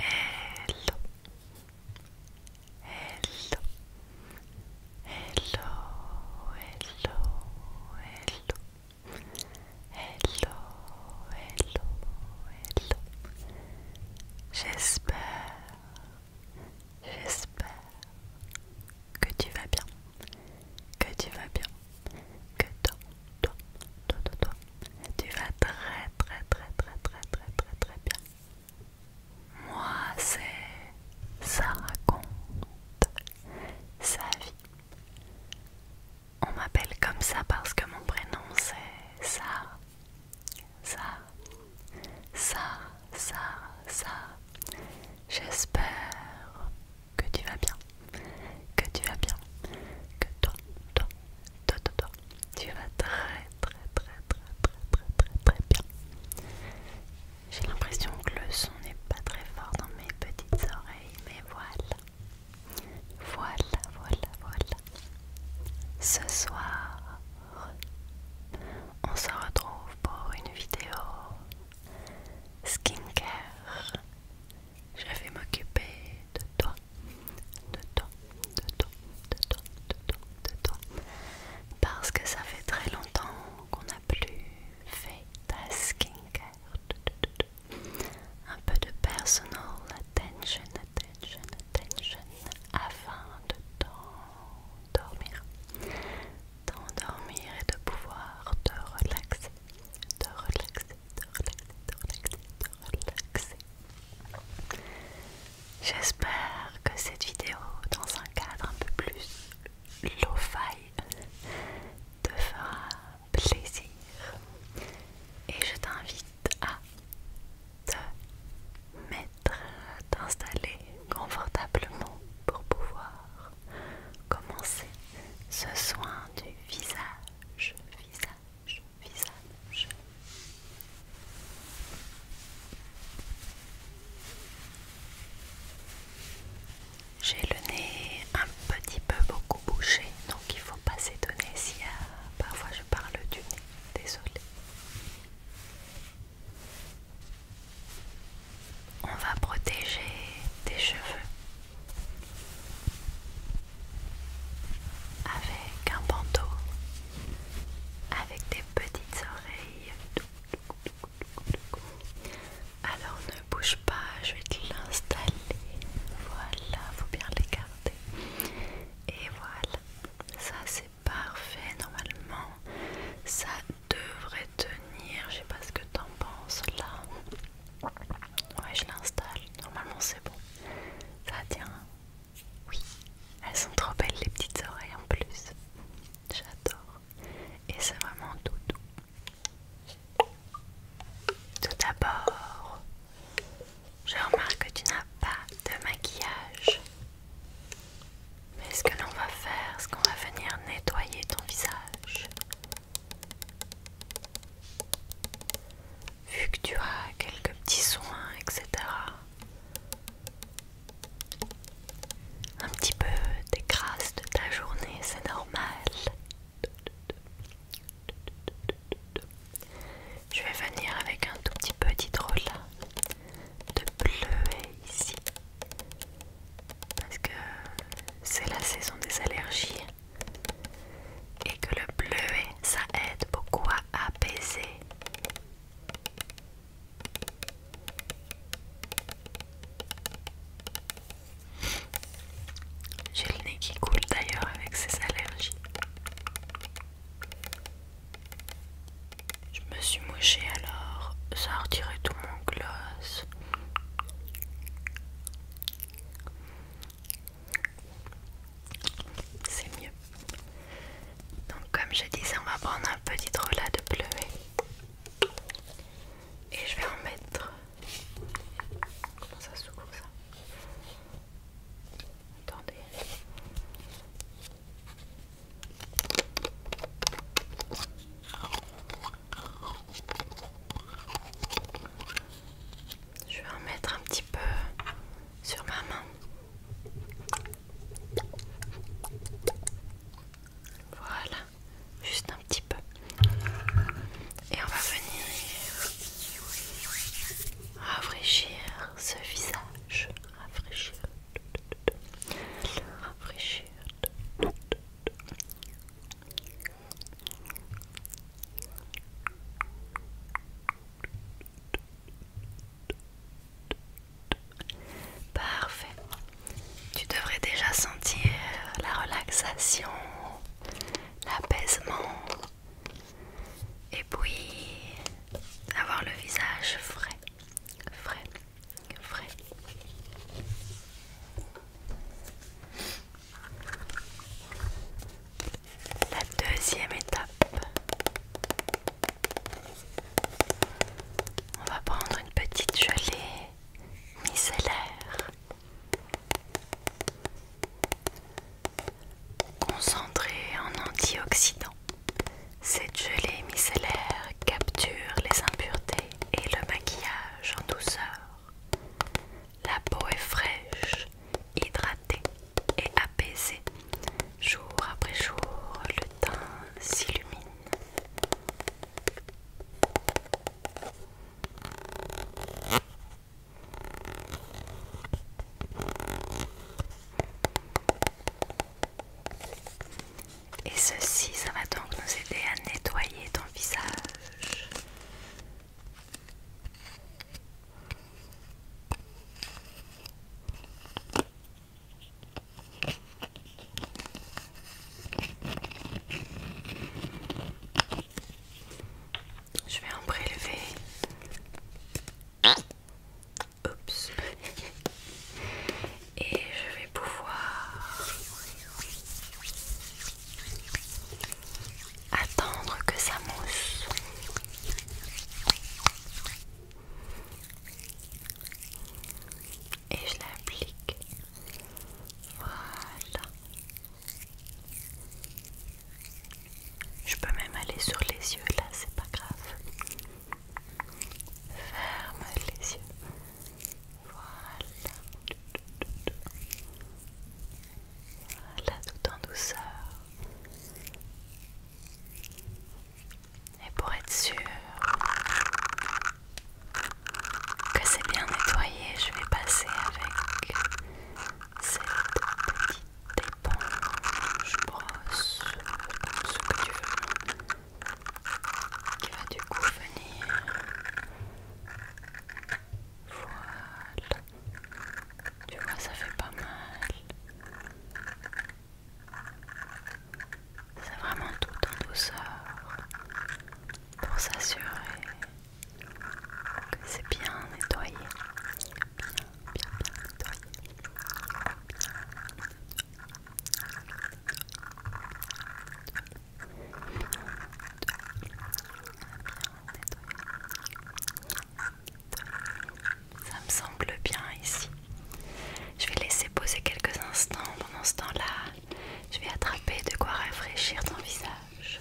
Hello. Hello. Hello. Hello. Hello. Hello. Hello. J'espère. J'espère que tu vas bien. Que tu vas bien. Que ton toi, toi, toi, toi. Tu vas très, très, très, très, très, très, très, très bien. Moi, c'est ça raconte sa vie. On m'appelle comme ça parce que mon prénom c'est Sarah. Sarah. Sarah, Sarah, Sarah. J'espère que tu vas bien. Que tu vas bien. Que toi, toi, toi. Tu vas très, très, très, très, très, très, très, très bien. J'ai l'impression que le son n'est pas très fort dans mes petites oreilles, mais voilà. Voilà, voilà, voilà. Ce soir, on se retrouve pour une vidéo skincare. Je vais m'occuper de toi de temps, de temps, de temps, de temps, de temps Parce que ça fait très longtemps qu'on n'a plus fait ta skincare. Un peu de personal attention, attention, attention afin de t'endormir. T'endormir et de pouvoir te relaxer, te relaxer, te relaxer, J'espère que cette vidéo, dans un cadre un peu plus lo-fi, te fera plaisir. Et je t'invite à te mettre, t'installer confortablement pour pouvoir commencer ce soin du visage, visage, j'ai le nez un petit peu beaucoup bouché, donc il faut pas s'étonner si euh, parfois je parle du nez, désolé. On va protéger tes cheveux avec un bandeau, avec des petites oreilles. Alors ne bouge pas, je vais te l'installer. Voilà, faut bien les garder. Et voilà, ça c'est parfait normalement. Ça devrait tenir, je sais pas ce que t'en penses là. Ouais, je l'installe. Normalement, c'est bon. Ça tient. Oui, elles sont trop belles les petites oreilles en plus. J'adore. Et c'est vraiment tout doux. Tout d'abord, je remarque que tu n'as pas de maquillage. Mais ce que l'on va faire, c'est qu'on va venir nettoyer ton visage. Vu que tu as quelques petits soins, etc. Un petit peu des grâces de ta journée, c'est normal. Je vais venir avec un tout petit peu d'hydrolat de bleu ici. Parce que c'est la saison des allergies et que le bleuet, ça aide beaucoup à apaiser. J'ai le nez qui coule d'ailleurs avec ces allergies. Je me suis mouchée alors, ça a retiré tout mon gloss. C'est mieux. Donc comme je disais, on va prendre un petit drôle de bleuet. Et je vais en mettre... Comment ça ça Attendez. Je vais en mettre un petit peu sur ma main. Voilà, juste un petit peu. Et on va venir rafraîchir ce visage. Rafraîchir. Rafraîchir. Parfait. Tu devrais déjà sentir la relaxation, l'apaisement et puis avoir le visage frais, frais, frais. La deuxième étape, on va prendre une petite gelée micellaire concentrée en antioxydants. Cette gelée micellaire capture les impuretés et le maquillage en douceur. La peau est fraîche, hydratée et apaisée. Jour après jour, le teint s'illumine. Et ceci, ça va donc nous aider à nettoyer ton visage je vais en prélever. Oups. Et je vais pouvoir Attendre que ça mousse. Et je l'applique. Voilà. Je peux même aller sur les yeux là, c'est pas grave. Ferme les yeux. Voilà. Voilà, tout en douceur. Et pour être sûr que c'est bien nettoyé, je vais passer avec cette petite éponge brosse, ce que tu veux, qui va du coup venir voilà. Tu vois, ça fait pas mal. C'est vraiment tout en douceur pour s'assurer que c'est bien nettoyé. Bien, bien, bien nettoyé. Bien nettoyé. Ça me semble bien ici. Je vais laisser poser quelques instants. Pendant ce temps-là, je vais attraper de quoi rafraîchir ton visage.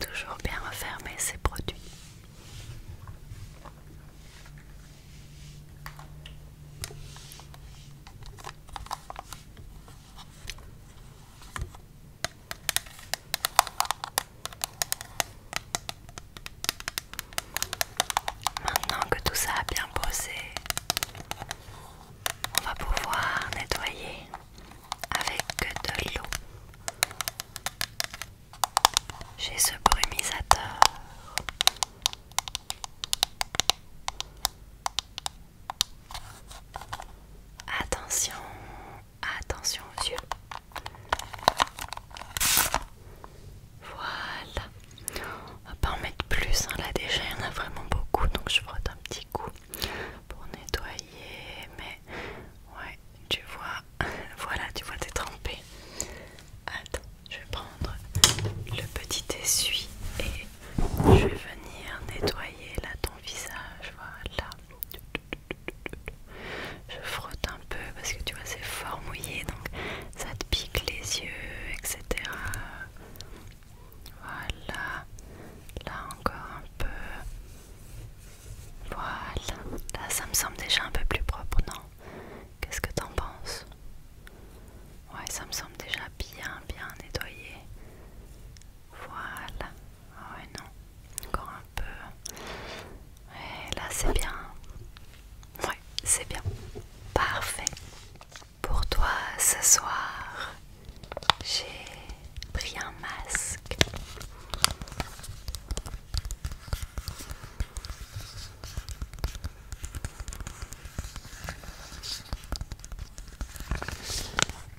Toujours bien refermer ces produits. Maintenant que tout ça a bien posé, on va pouvoir nettoyer avec de l'eau. J'ai ce brumisateur Attention, attention aux yeux. Voilà. On va pas en mettre plus, hein. là déjà il y en a vraiment beaucoup, donc je frotte un petit coup pour nettoyer. Mais ouais, tu vois, voilà, tu vois, t'es trempé. Attends. Je vais prendre le petit essuie et je vais venir nettoyer là ton visage. Voilà. Je frotte un peu parce que tu vois c'est fort mouillé donc ça te pique les yeux, etc. Voilà. Là encore un peu. Voilà. Là ça me semble déjà un peu plus propre, non Qu'est-ce que t'en penses Ouais, ça me semble déjà bien, bien nettoyé. Voilà. Ah ouais, non. Encore un peu. Ouais, là, c'est bien. Ouais, c'est bien. Parfait. Pour toi, ce soir, j'ai pris un masque.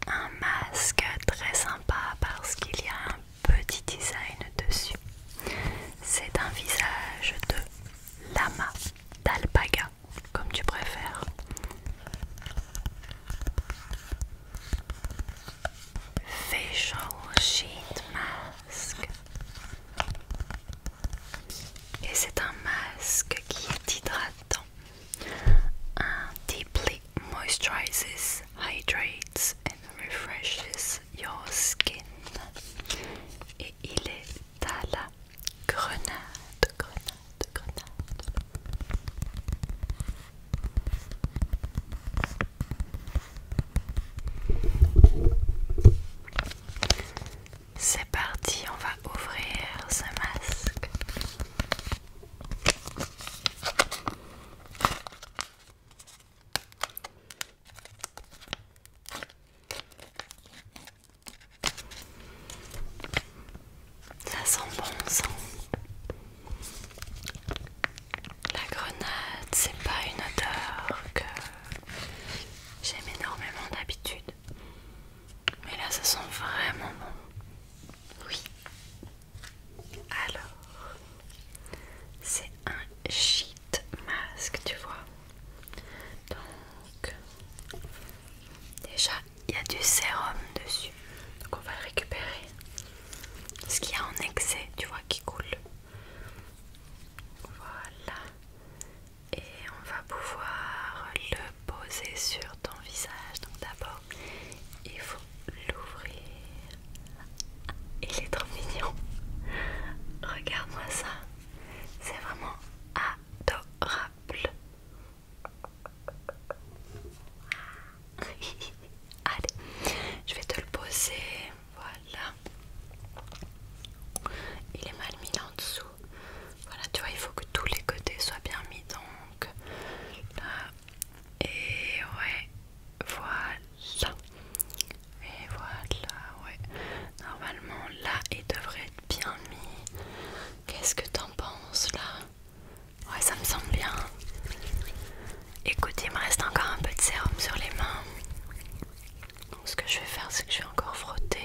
Un masque très sympa parce qu'il y a un petit design dessus. C'est un visage de lama, d'alpaga, comme tu préfères. Facial sheet mask. Et c'est un masque qui est hydratant. Un deeply moisturizes, hydrates and refreshes your skin. Et il est à la grenade, grenade, grenade. C'est parti, on va ouvrir ce masque. Ça sent bon, ça. La grenade, c'est pas une odeur que j'aime énormément d'habitude. Mais là, ça sent vraiment bon. Oui. Alors, c'est un sheet masque, tu vois. Donc, déjà, il y a du sérum dessus. Donc, on va récupérer. Ce qu'il y a en excès, tu vois, qui coule. Voilà. Et on va pouvoir le poser sur ton visage. Donc d'abord, il faut l'ouvrir. Il est trop mignon. Regarde-moi ça. C'est vraiment adorable. Allez, je vais te le poser voilà. Il est mal mis là en dessous. Voilà, tu vois, il faut que tous les côtés soient bien mis donc. Là. Et ouais. Voilà. Et voilà, ouais. Normalement, là, il devrait être bien mis. Qu'est-ce que t'en penses là Ouais, ça me semble bien. Écoutez, il me reste encore un peu de sérum sur les mains. Donc, ce que je vais faire, c'est que je vais encore frotter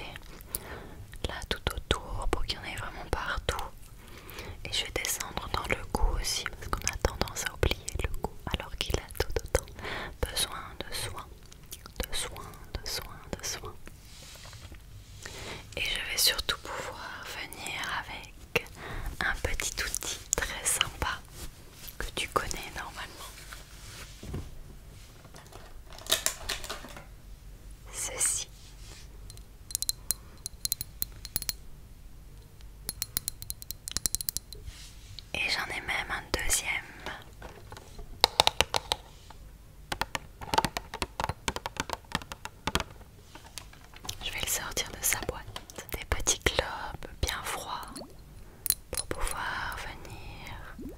là tout autour pour qu'il y en ait vraiment partout. Et je vais descendre dans le cou aussi parce qu'on a tendance à oublier le cou alors qu'il a tout autant besoin de soins, de soins, de soins, de soins. Et je vais surtout pouvoir venir avec un petit outil très sympa que tu connais normalement. Ceci. Et j'en ai même un deuxième. Je vais le sortir de sa boîte des petits globes bien froids pour pouvoir venir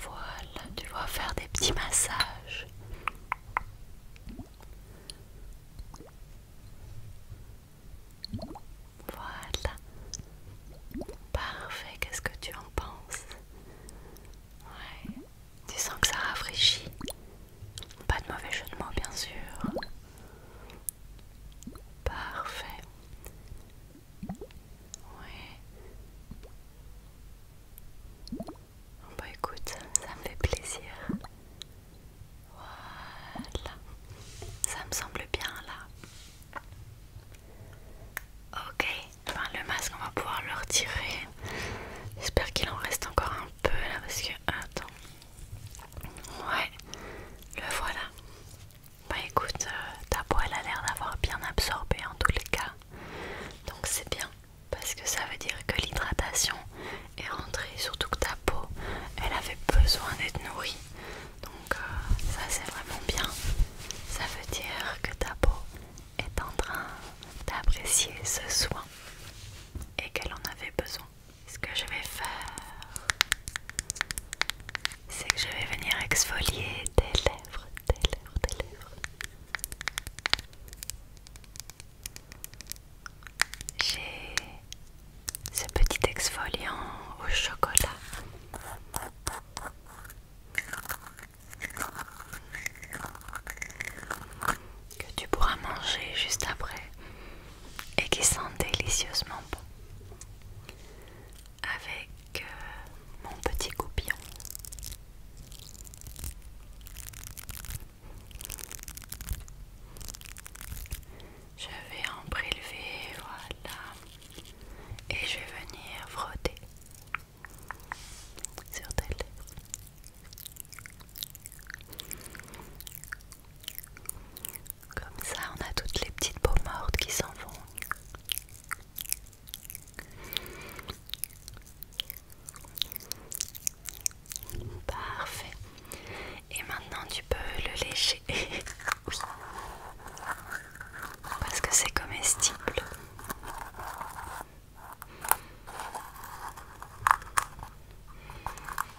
voilà, tu dois faire des petits massages. Voilà. Parfait, qu'est-ce que tu en penses Ouais. Tu sens que ça rafraîchit. Pas de mauvais jeu de mots, bien sûr. Parfait. Ouais. Bah écoute, ça me fait plaisir. Voilà. Ça me semble bien là. Ok, le masque on va pouvoir le retirer. J'espère qu'il en reste encore un peu là parce que attends. Ouais, le voilà. Bah écoute, euh, ta peau elle a l'air d'avoir bien absorbé en tous les cas. Donc c'est bien parce que ça veut dire que l'hydratation est rentrée, surtout que ta peau elle avait besoin d'être nourrie. Donc euh, ça c'est vraiment bien. Ça veut dire que ta peau est en train d'apprécier ce soin et qu'elle en avait besoin. Ce que je vais faire, c'est que je vais venir exfolier tes lèvres, tes lèvres, tes lèvres. J'ai ce petit exfoliant au chocolat. Que tu pourras manger juste après et qui sent délicieusement bon avec euh, mon petit goupillon. Je vais en prélever, voilà et je vais venir frotter sur telle. Comme ça, on a toutes les petites peaux mortes qui s'en vont. Parfait. Et maintenant tu peux le lécher. oui. Parce que c'est comestible.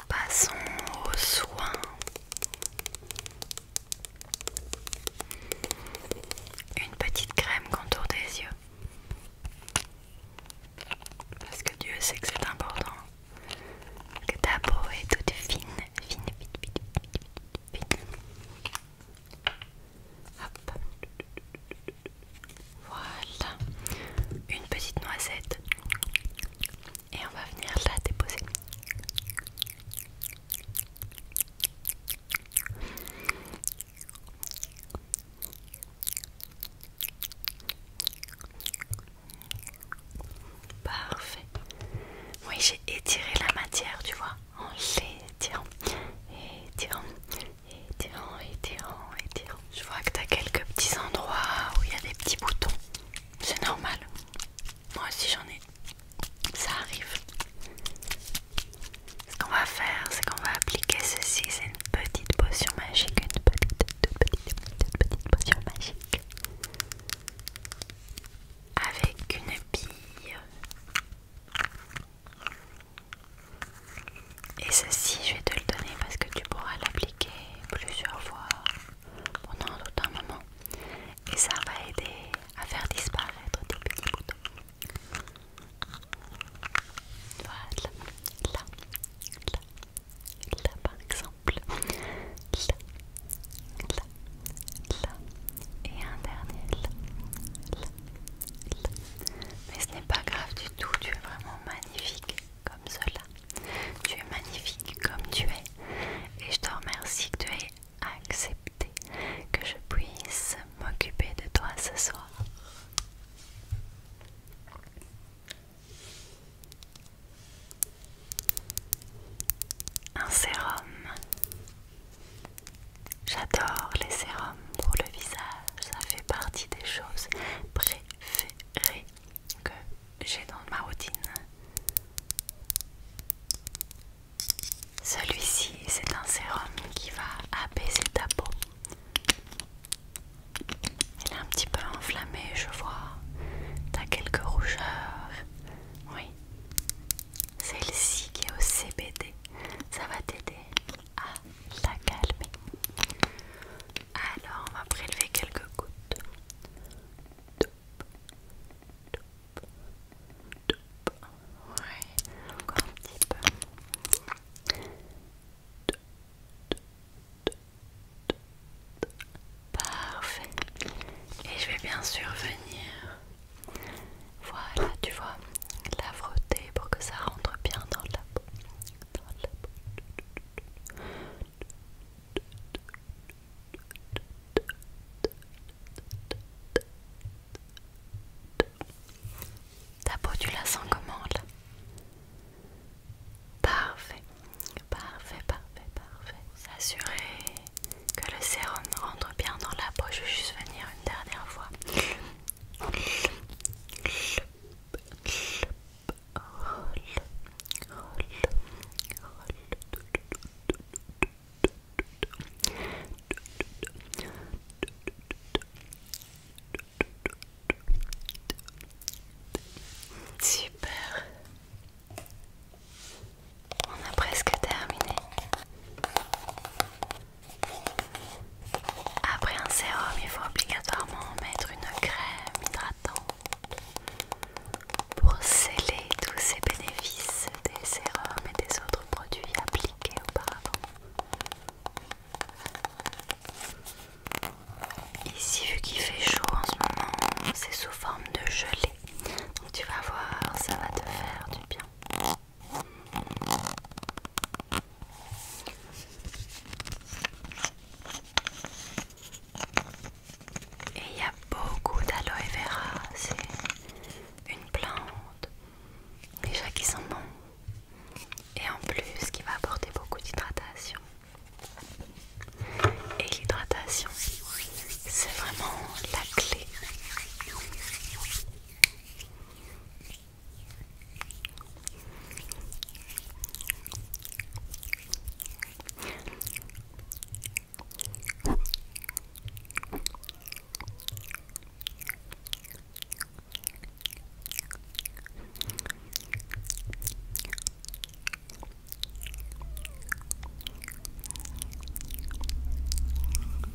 Passons aux soins. Une petite crème contour des yeux. Parce que Dieu sait que c'est important que ta peau est toute fine, fine, fine, fine, fine, fine. Hop. Voilà. Une petite noisette. Et on va venir la déposer. Parfait. Oui, j'ai étiré la matière, tu vois, en l'étirant, étirant, étirant, étirant, étirant. Je vois que tu as quelques petits endroits où il y a des petits boutons. C'est normal. Moi aussi j'en ai. Ça arrive. Ce qu'on va faire, c'est qu'on va appliquer ceci. C'est une petite potion magique. Une petite, petite, petite potion magique avec une bille. Et ceci, je vais te le donner parce que tu pourras l'appliquer plusieurs fois pendant tout un moment. Et ça va aider à faire disparaître Tes petits boutons. Voilà, là, Là par exemple. Là. Là. Là. Et un dernier Mais ce n'est pas grave du tout, tu es vraiment magnifique comme cela. Tu es magnifique comme tu es. Et je te remercie que tu aies accepté que je puisse m'occuper de toi ce soir. Un sérum. J'adore les sérums pour le visage. Ça fait partie des choses préférées que j'ai dans ma routine. Celui-ci, c'est un sérum qui va apaiser ta peau. Elle est un petit peu enflammé je vois. T'as quelques rougeurs. Oui. Celle-ci qui est au CBD. Ça va t'aider à la calmer. Alors, on va prélever quelques gouttes. encore un petit peu. Parfait. Et je vais bien sûr venir. Voilà, tu vois, la frotter pour que ça rentre bien dans la peau. Ta peau, tu la sens comment là Parfait, parfait, parfait, parfait. S'assurer que le sérum rentre bien dans la peau. Je vais juste venir une dernière fois. Super, on a presque terminé. Après un sérum, il faut obligatoirement mettre une crème hydratante pour sceller tous ces bénéfices des sérums et des autres produits appliqués auparavant. Ici, vu qu'il fait chaud en ce moment, c'est sous forme de gelée. Donc tu vas voir, ça va te faire du bien. Et il y a beaucoup d'aloe vera, c'est une plante déjà qui sent bon et en plus qui va apporter beaucoup d'hydratation. Et l'hydratation, c'est vraiment la clé.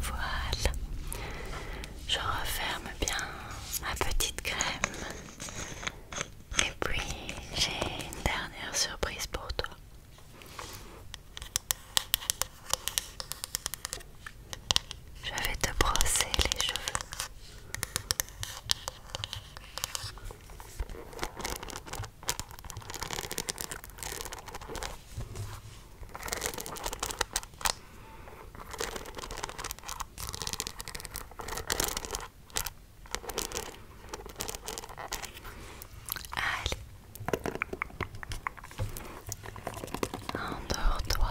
Voilà. Je referme bien ma petite crème. Et puis j'ai une dernière surprise pour toi. Je vais te brosser les cheveux. Allez, endors-toi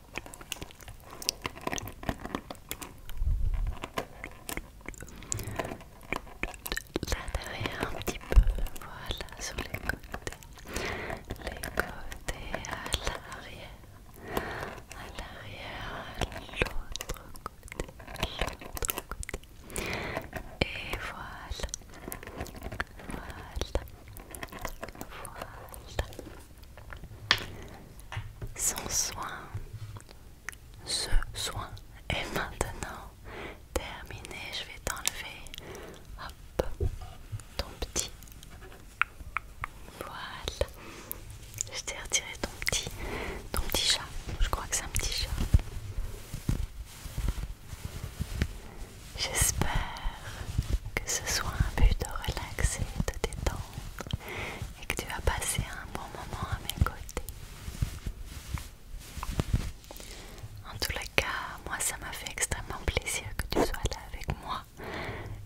Là derrière un petit peu, voilà, sur les côtés, les côtés à l'arrière, à l'arrière, à l'autre côté, l'autre côté, et voilà, voilà, voilà. Son soin, ce soin est maintenant terminé. Je vais t'enlever, ton petit. Voilà. Je t'ai retiré ton petit, ton petit chat. Je crois que c'est un petit chat. J'espère que ce soit un but de relaxer, de détendre et que tu vas passer un bon moment à mes côtés. En tout les cas, moi ça m'a fait extrêmement plaisir que tu sois là avec moi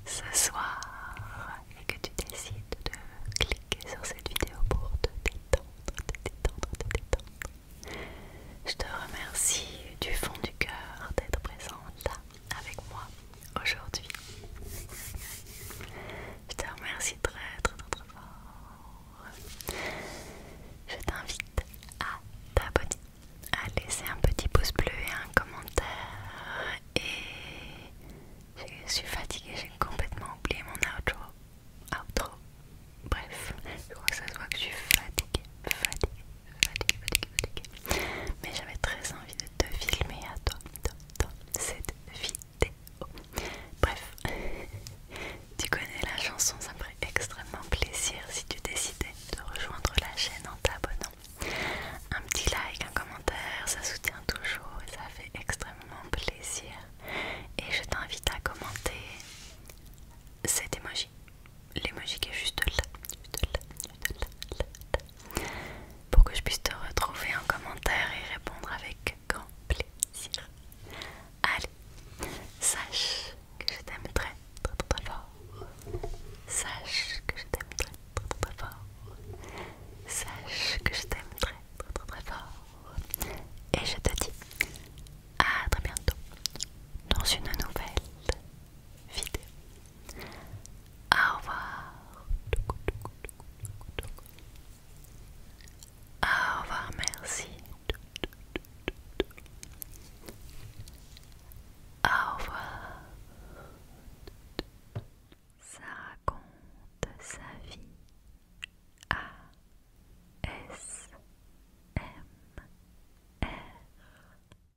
ce soir et que tu décides de cliquer sur cette vidéo pour te détendre, te détendre, te détendre. Je te remercie du fond du cœur d'être présente là avec moi aujourd'hui. Je te remercie très très très fort. Je t'invite à t'abonner, à laisser un petit pouce bleu et un commentaire. Et je suis fatiguée, j'ai complètement oublié mon outro. Outro. Bref, je crois que ça se voit que je suis fatiguée, fatiguée, mais j'avais très envie de te filmer à toi dans, cette vidéo. Bref, tu connais la chanson, ça me ferait extrêmement plaisir si tu décidais de rejoindre la chaîne en t'abonnant. Un petit like, un commentaire, ça soutient toujours et ça fait extrêmement plaisir. Et je t'invite à commenter Cette émoji L'émoji qui est juste là, pour que je puisse te retrouver en commentaire et répondre avec grand plaisir. Allez, sache que je t'aime très très très fort. Sache que je t'aime très très très fort. Sache que je t'aime très très très très fort. Et je te dis à très bientôt dans une nouvelle vidéo. Au revoir. Au revoir, merci. Au revoir. Ça raconte sa vie. A S M R